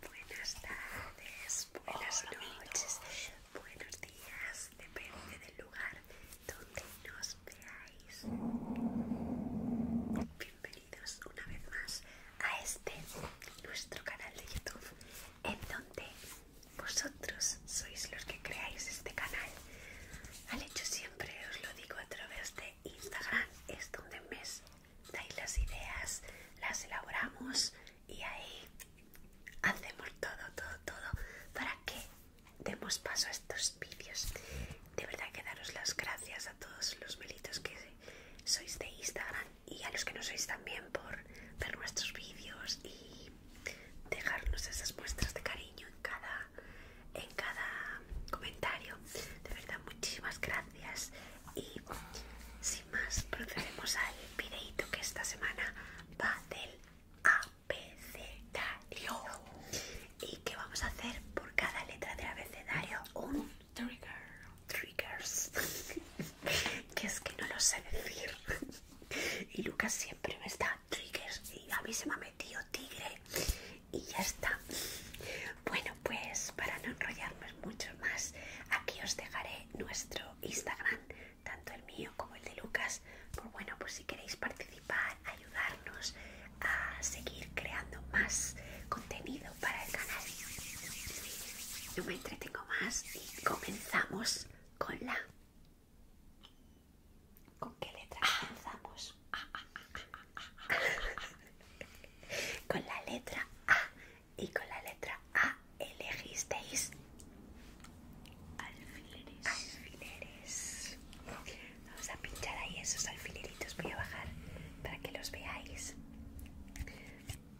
Buenas tardes, buenas noches, buenos días, depende del lugar donde nos veáis. Bienvenidos una vez más a este nuestro canal de YouTube en donde vosotros sois los que creáis este canal. Al hecho siempre os lo digo a través de Instagram, es donde me dais las ideas, las elaboramos y ahí hacemos todo, todo, todo para que demos paso a estos vídeos. De verdad que daros las gracias a todos los melitos que sois de Instagram y a los que no sois también por ver nuestros vídeos y dejarnos esas muestras de cariño en cada, en cada comentario. De verdad, muchísimas gracias. Y sin más, procedemos al videito que esta semana va del abecedario. Y que vamos a hacer por cada letra del abecedario un Triggers. que es que no lo sé decir. y Lucas siempre me está triggers. Y a mí se me ha metido tigre. Y ya está. Bueno, pues para no enrollarnos mucho más, aquí os dejaré nuestro Instagram, tanto el mío como el de Lucas. Por pues bueno, pues si queréis participar, ayudarnos a seguir creando más contenido para el canal. No me entretengo más y comenzamos con la... ¿Con qué letra comenzamos? con la letra A y con la letra A elegisteis alfileres. alfileres. Vamos a pinchar ahí esos alfileritos. Voy a bajar para que los veáis.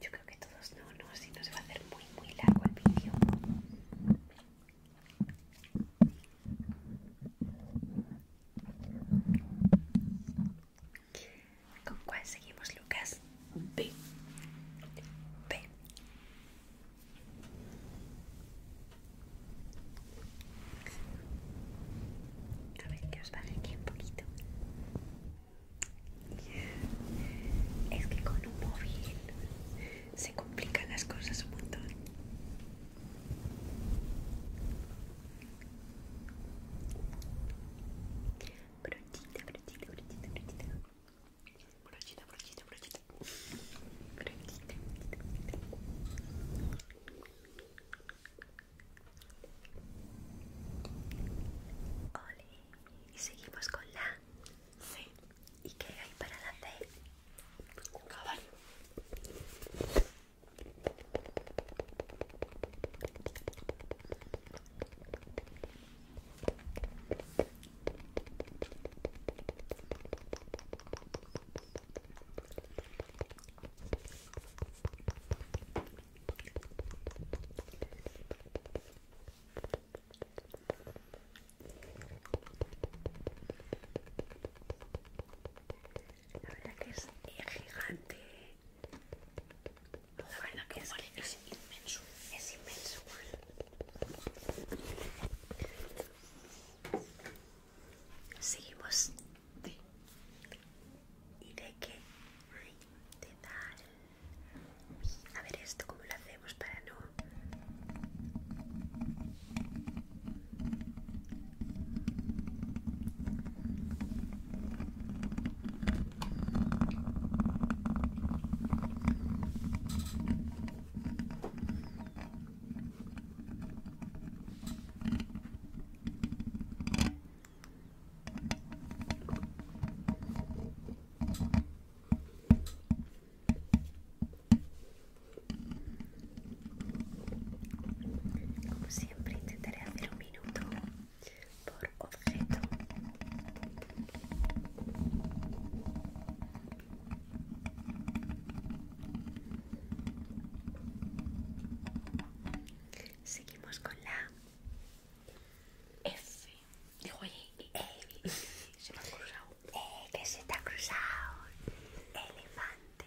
Yo creo que todos no, no, así no se va a hacer muy, muy largo el vídeo. ¿Con cuál seguimos, Lucas? B. B. A ver, que os aquí un poquito. Es que con un móvil se complican las cosas un montón. Brochita, brochita, brochita, brochita. Brochita, brochita, brochita. Brochita, brochita, brochita. Y seguimos con la C. ¿Y qué hay para la C? Caballo. La verdad que es gigante. La verdad que es, es inmenso. Es inmenso. Seguimos. ¿Y de qué? de tal. A ver esto, ¿cómo lo hacemos para no...? Como siempre intentaré hacer un minuto por objeto. Seguimos con la F. Dijo, se me ha cruzado. eh que se te ha cruzado. Elefante.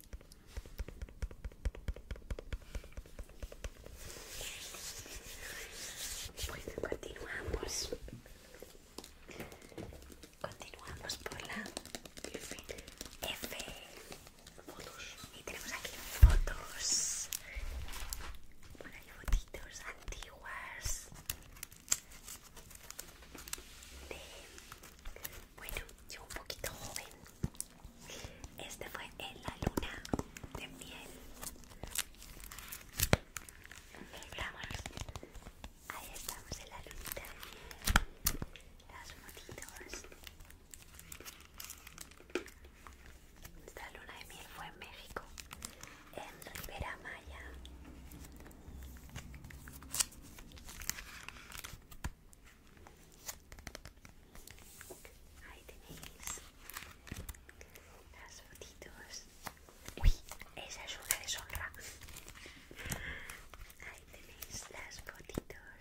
pues continuamos. Continuamos por la F. F. Fotos. Y tenemos aquí fotos. Por ahí fotitos antiguas. De... Bueno, yo un poquito joven. Este fue en la luna de miel. Ahí estamos. Ahí estamos en la lunita de miel. Las motitos. Esta luna de miel fue en México, en Rivera Maya. Ahí tenéis las fotitos. Uy, esa es una deshonra. Ahí tenéis las fotitos.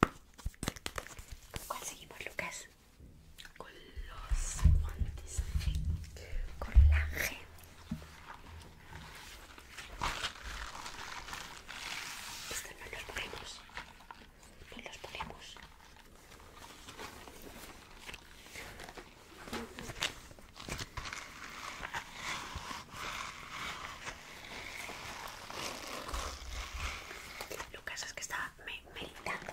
¿Con cuál seguimos, Lucas? Con los guantes. Con la G. Esto no los nos pues los ponemos. Lucas es que está meditando.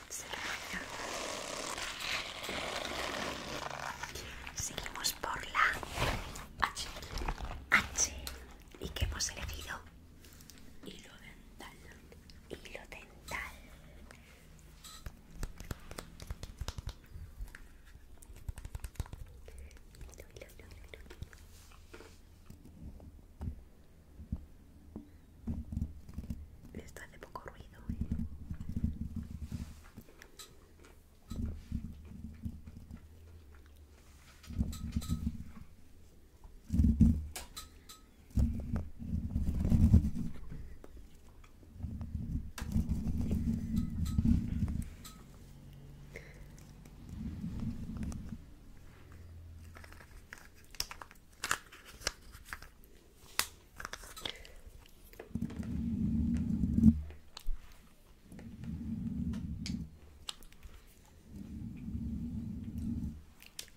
Seguimos por la H. H. ¿Y qué hemos elegido? Hilo dental. Hilo dental está de poco ruido. Eh.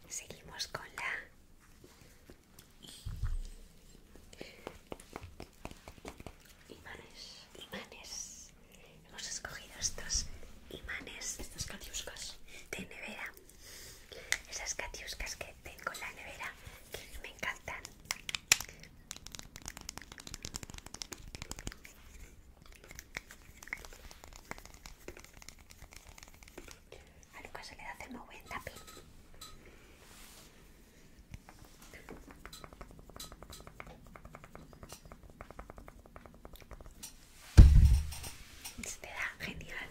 Seguimos con la imanes, imanes. Hemos escogido estos imanes, estos catiuscas de nevera esas catiuscas que tengo en la nevera que me encantan a Lucas se le da hacer muy buen se te da genial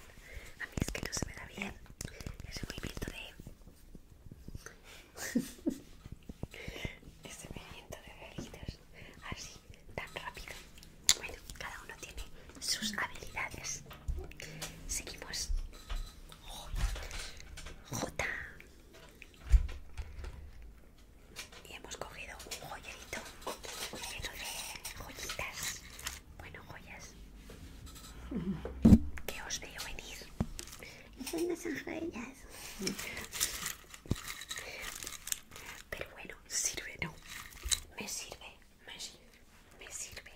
a mí es que no se me da bien ese movimiento de... ese movimiento de velitos así, tan rápido. Bueno, cada uno tiene sus habilidades. Seguimos. J. Y hemos cogido un joyerito lleno de joyitas bueno, joyas. Que os veo venir. Son las joyas. Pero bueno, sirve, ¿no? Me sirve, me sirve, me sirve.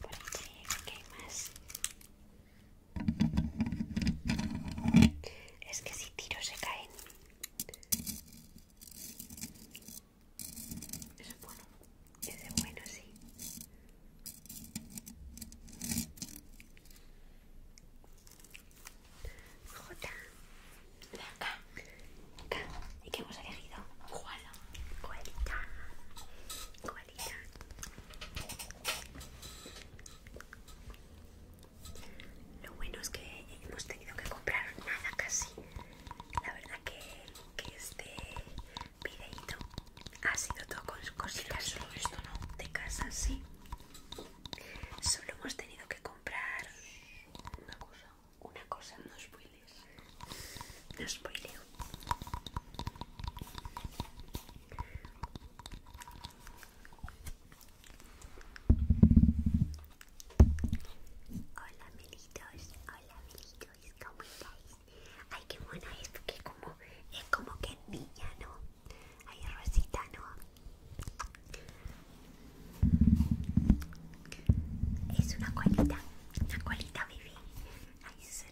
Por aquí, hay más? Es que si tiro se caen. es bueno. es de bueno, sí. J. De K. ¿Y qué hemos elegido? Koala. Koalita. Koalita. Lo bueno es que hemos tenido que comprar nada casi. La verdad que, que este videito ha sido todo con cositas. Solo esto, ¿no? De casa, sí. Solo hemos tenido que comprar una cosa. Una cosa, no spoilers. No spoileo. Hola amiguitos, hola amiguitos, ¿cómo estáis? Ay, qué buena es que como, es como que niña, ¿no? Hay Rosita, ¿no? Es una colita, una colita baby. Hay sus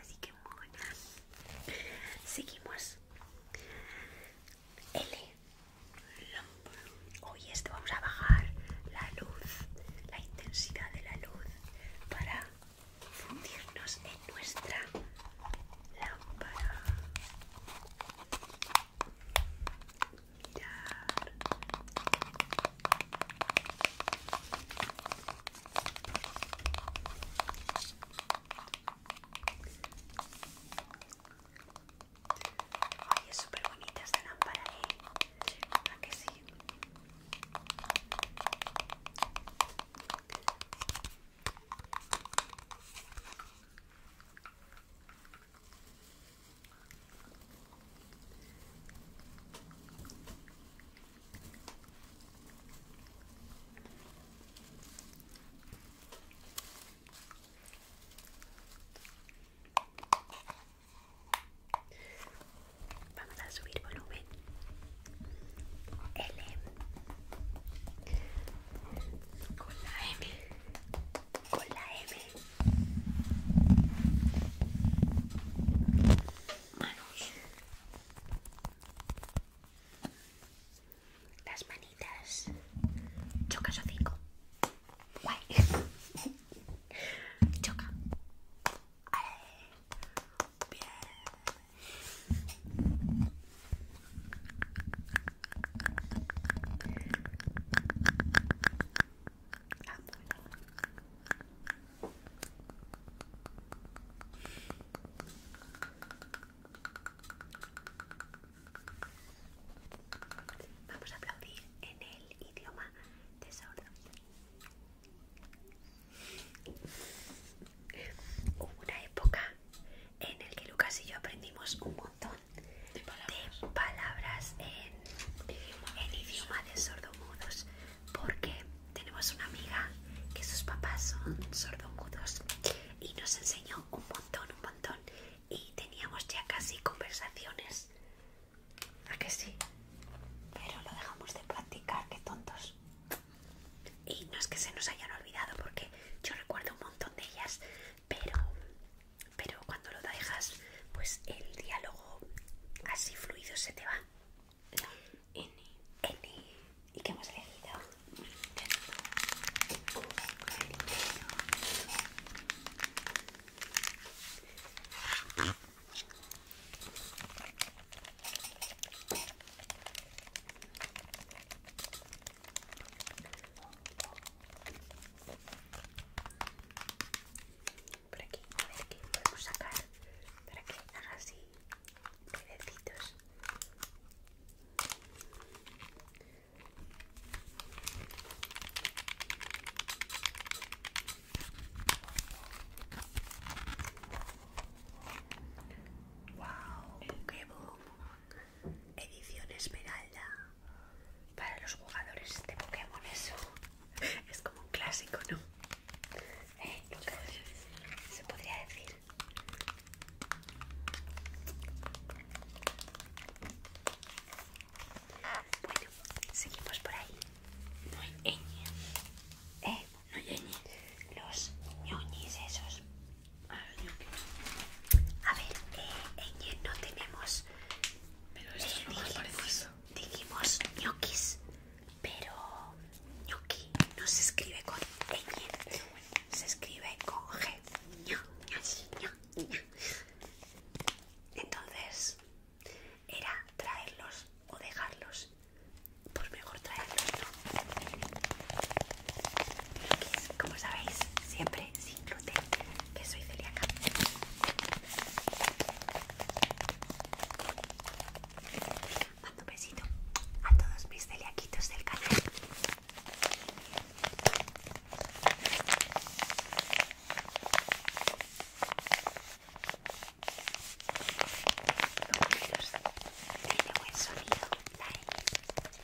así que mona. Seguimos. L. Hoy esto vamos a bajar la luz, la intensidad de la luz para fundirnos nuestra lámpara. Mirar. Ay, es súper bonita esta lámpara, ¿eh? ¿A que sí? Vamos a subir volumen. L con la M, con la M, manos, las manitas, choca cinco, guay, choca, Ay. bien. Vamos a aplaudir en el idioma de sordos. Hubo una época en el que Lucas y yo aprendimos un montón de palabras, en, idioma de sordomudos porque tenemos una amiga que sus papás son sordomudos y nos enseñó un montón, un montón y teníamos ya casi conversaciones. ¿A que sí? Pero lo dejamos de practicar, qué tontos y no es que se nos hayan olvidado porque yo recuerdo un montón de ellas, pero, pero cuando lo dejas, pues el diálogo así fluido se te va. ¿Y qué hemos elegido? Por aquí, a ver qué podemos sacar para que haga así ruidecitos. Wow, qué boom edición esmeralda para los jugadores de Pokémon. Eso es como un clásico, ¿no? ¿Eh? Se podría decir. Bueno, seguimos por ahí. No hay ñ. ¿Eh? No Los ñoñis esos. A ver, eh, no tenemos. Pero eh, dijimos, pero ñoqui no se escribe con ñ, e se escribe con G. Entonces, era traerlos o dejarlos. pues mejor traerlos, como sabéis, siempre sin gluten, que soy celíaca. Mando un besito a todos mis celiaquitos del canal. buen sonido, Dale.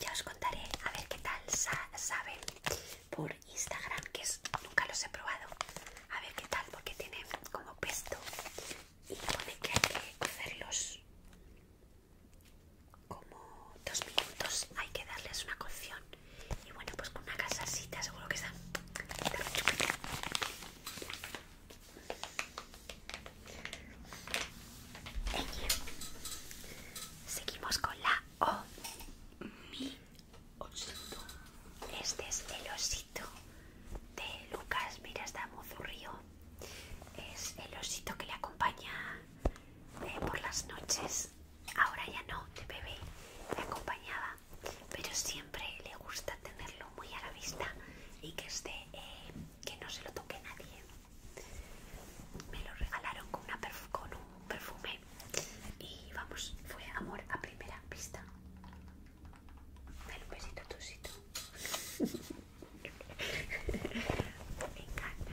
Ya os contaré a ver qué tal saben por Instagram, que nunca los he probado. A ver qué tal, porque tienen como pesto y pone que hay que cocerlos como dos minutos. Hay que darles una cocción y bueno, pues con una casasita seguro que está. Seguimos con la O. Mi Este es el osito de Lucas. Mira, está mozurrío. Es el osito que le acompaña eh, por las noches. Ahora ya no, de bebé. Le acompañaba pero siempre le gusta tenerlo muy a la vista y que esté, eh, que no se lo toque nadie. Me lo regalaron con, un perfume y vamos, fue amor a primera vista. besito Me encanta,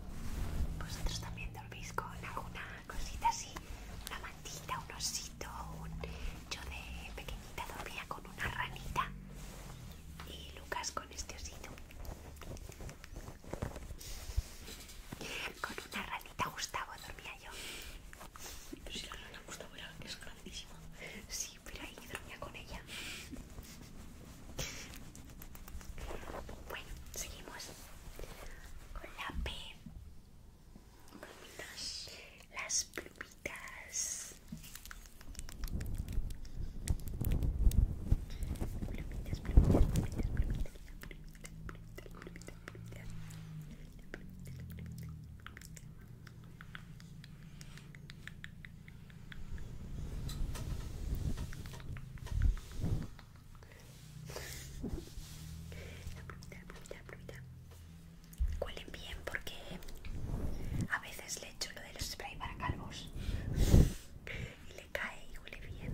¿Vosotros también dormís con alguna cosita así? Una mantita, un osito, Yo de pequeñita dormía con una ranita y Lucas con este osito. Con una ranita Gustavo dormía yo. Pero si la rana Gustavo era, es grandísima. Sí, pero ahí dormía con ella. Bueno, seguimos con la P. Las plumitas la la bien porque a veces le echo lo del spray para calvos y le cae y huele bien.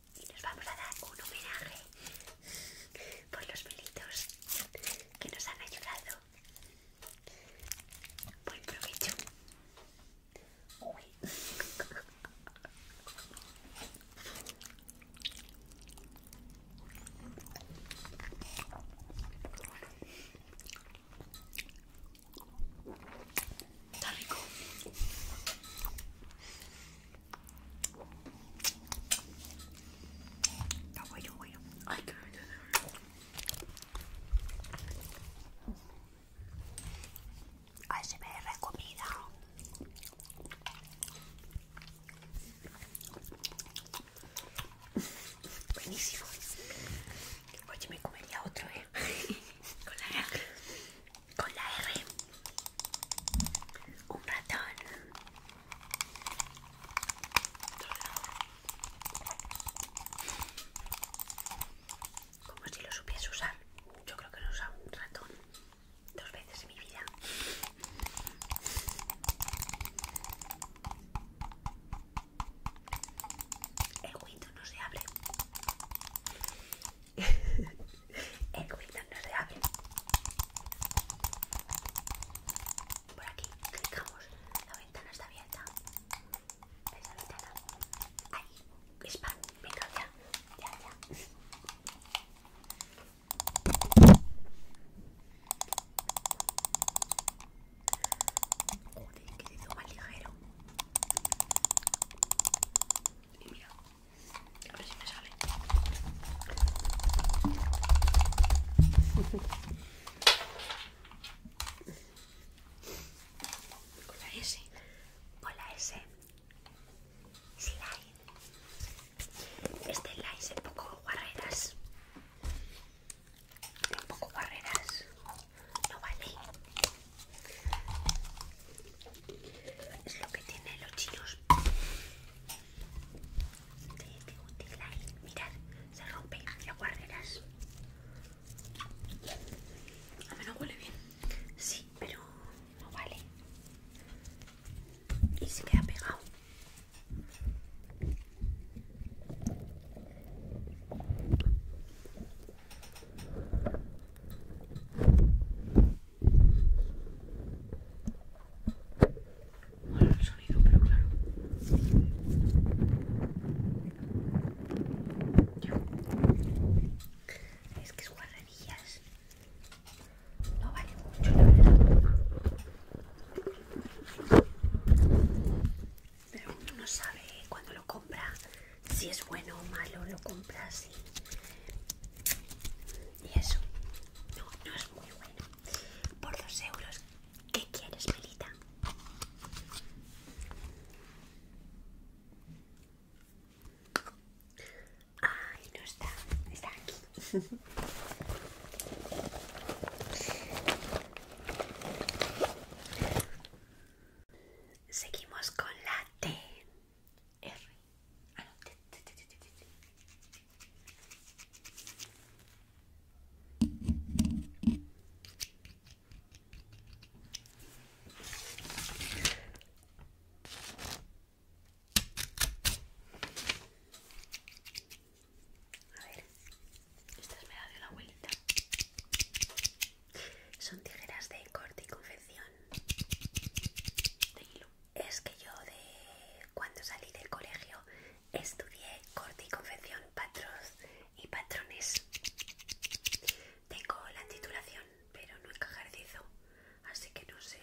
y nos vamos a dar un homenaje por los pelitos que nos han ayudado. por el provecho. Ay, se me Buenísimo. comería otro, ¿eh? Con la con la R un ratón como si lo supiese usar yo creo que lo he usado un ratón dos veces en mi vida el window no se abre El cubito no se abre. Por aquí clicamos. La ventana está abierta. Esa ventana. Ahí. Spam. Venga, ya. Ya, ya. Joder, que se más ligero. Y mira, a ver si me sale. Con la S. Con la S. Slide. Este slide es poco guarreras Un poco guarreras No vale. Es lo que tienen los chinos Mirad, se rompe hacia guarderas A menos huele bien. Sí, pero no vale. Y se queda pegado mola el sonido, pero claro. Es que es guarrerías. No vale mucho, la verdad. Pero uno no sabe cuando lo compra si es bueno o malo, lo compra así. Y eso no, no es muy bueno. Por los euros, ¿qué quieres, Melita? Ay, no está, está aquí. Seguimos con la T R. Ah, A ver, estas me las de la abuelita. Son tijeras de corte y confección de hilo es que yo de cuando salí del colegio estudié corte y confección patrón y patrones. Tengo la titulación, pero no ejercizo, así que no sé,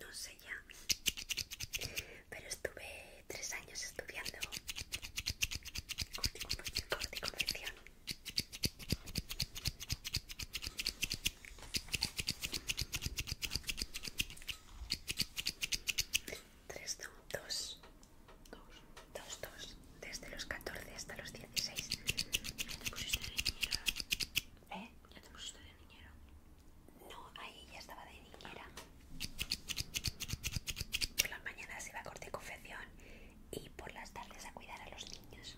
no sé ya. Pero estuve tres años estudiando corte y confección. 3 2 2 2 Desde los 14 hasta los 16. Ya te pusiste de niñera. ¿Eh? Ya te pusiste de niñera. No, ahí ya estaba de niñera. Por las mañanas iba a corte confección y por las tardes a cuidar a los niños.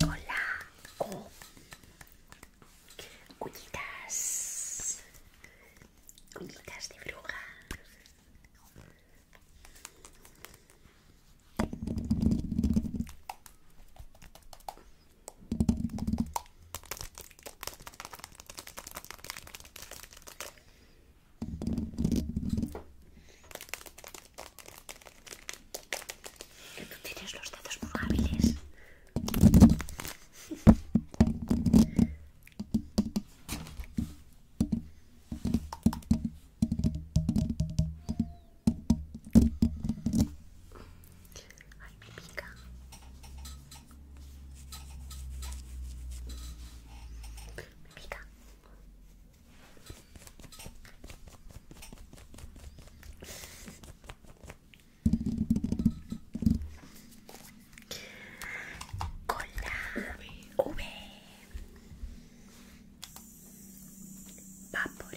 Hola. Oh. Uñitas. Uñitas de bruja. Que tú tienes los datos muy hábiles. Ay, me pica. Me pica. Con la V. Va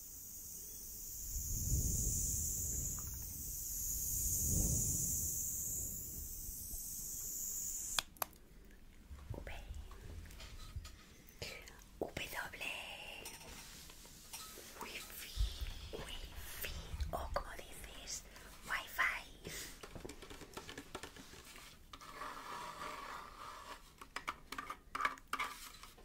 W Wi-Fi Wi-Fi o como dices Wi-Fi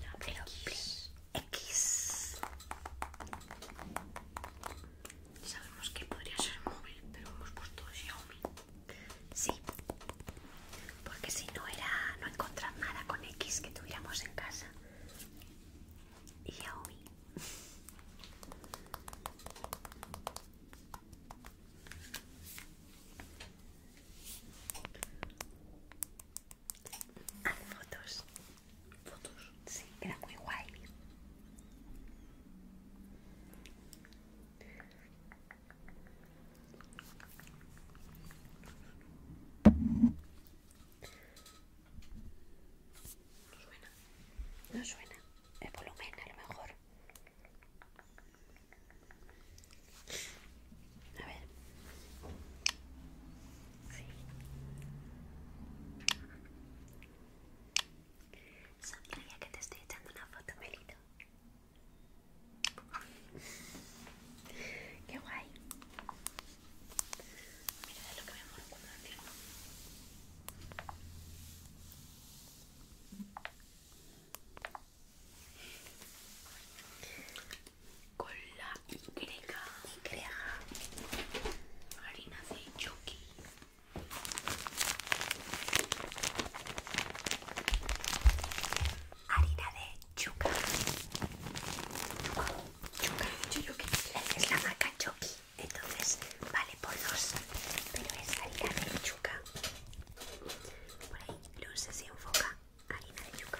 La X. X. Sabemos que podría ser móvil, pero hemos puesto Xiaomi. Sí, porque si no era no encontrar nada con X que tuviéramos en casa. Xiaomi fotos. Fotos. Sí, era muy guay. No suena, no suena. El volumen, a lo mejor. A ver. Sí. ya que te estoy echando una foto, Melito. Qué guay. Mira de lo que me muero cuando encierro. Con la Y, Y, harina de Chucky Harina de Chuka Chuca, chuca, chuca. Es la marca Chucky entonces vale por dos pero es harina de yuca por ahí luces y enfoca harina de yuca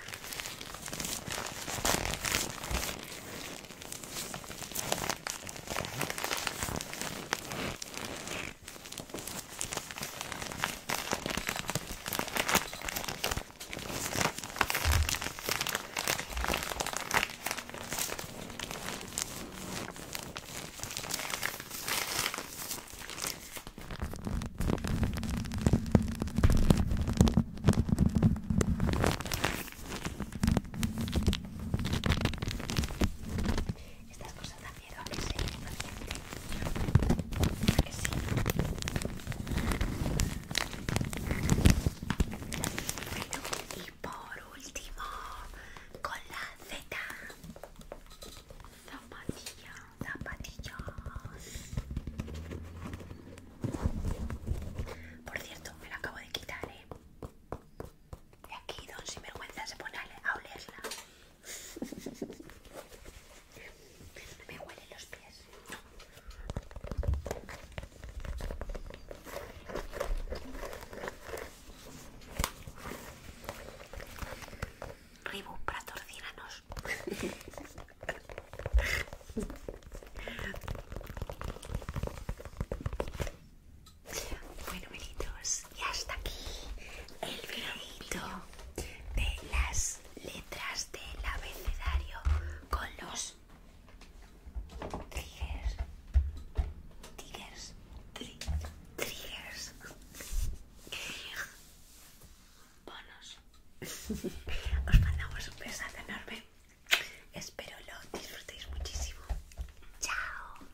estas cosas dan miedo a que se impaciente. ¿A que sí? Y por último, con la Z. zapatilla, zapatillas. Por cierto, me la acabo de quitar, ¿eh? Y aquí Don Sinvergüenza se pone a olerla. me huelen los pies. Ribu para torciranos, bueno, velitos, y hasta aquí el videito de las letras del abecedario con los Tigers. Triggers. Tigers. triggers. Bonos. Os mandamos un besazo enorme. Espero lo disfrutéis muchísimo. Chao.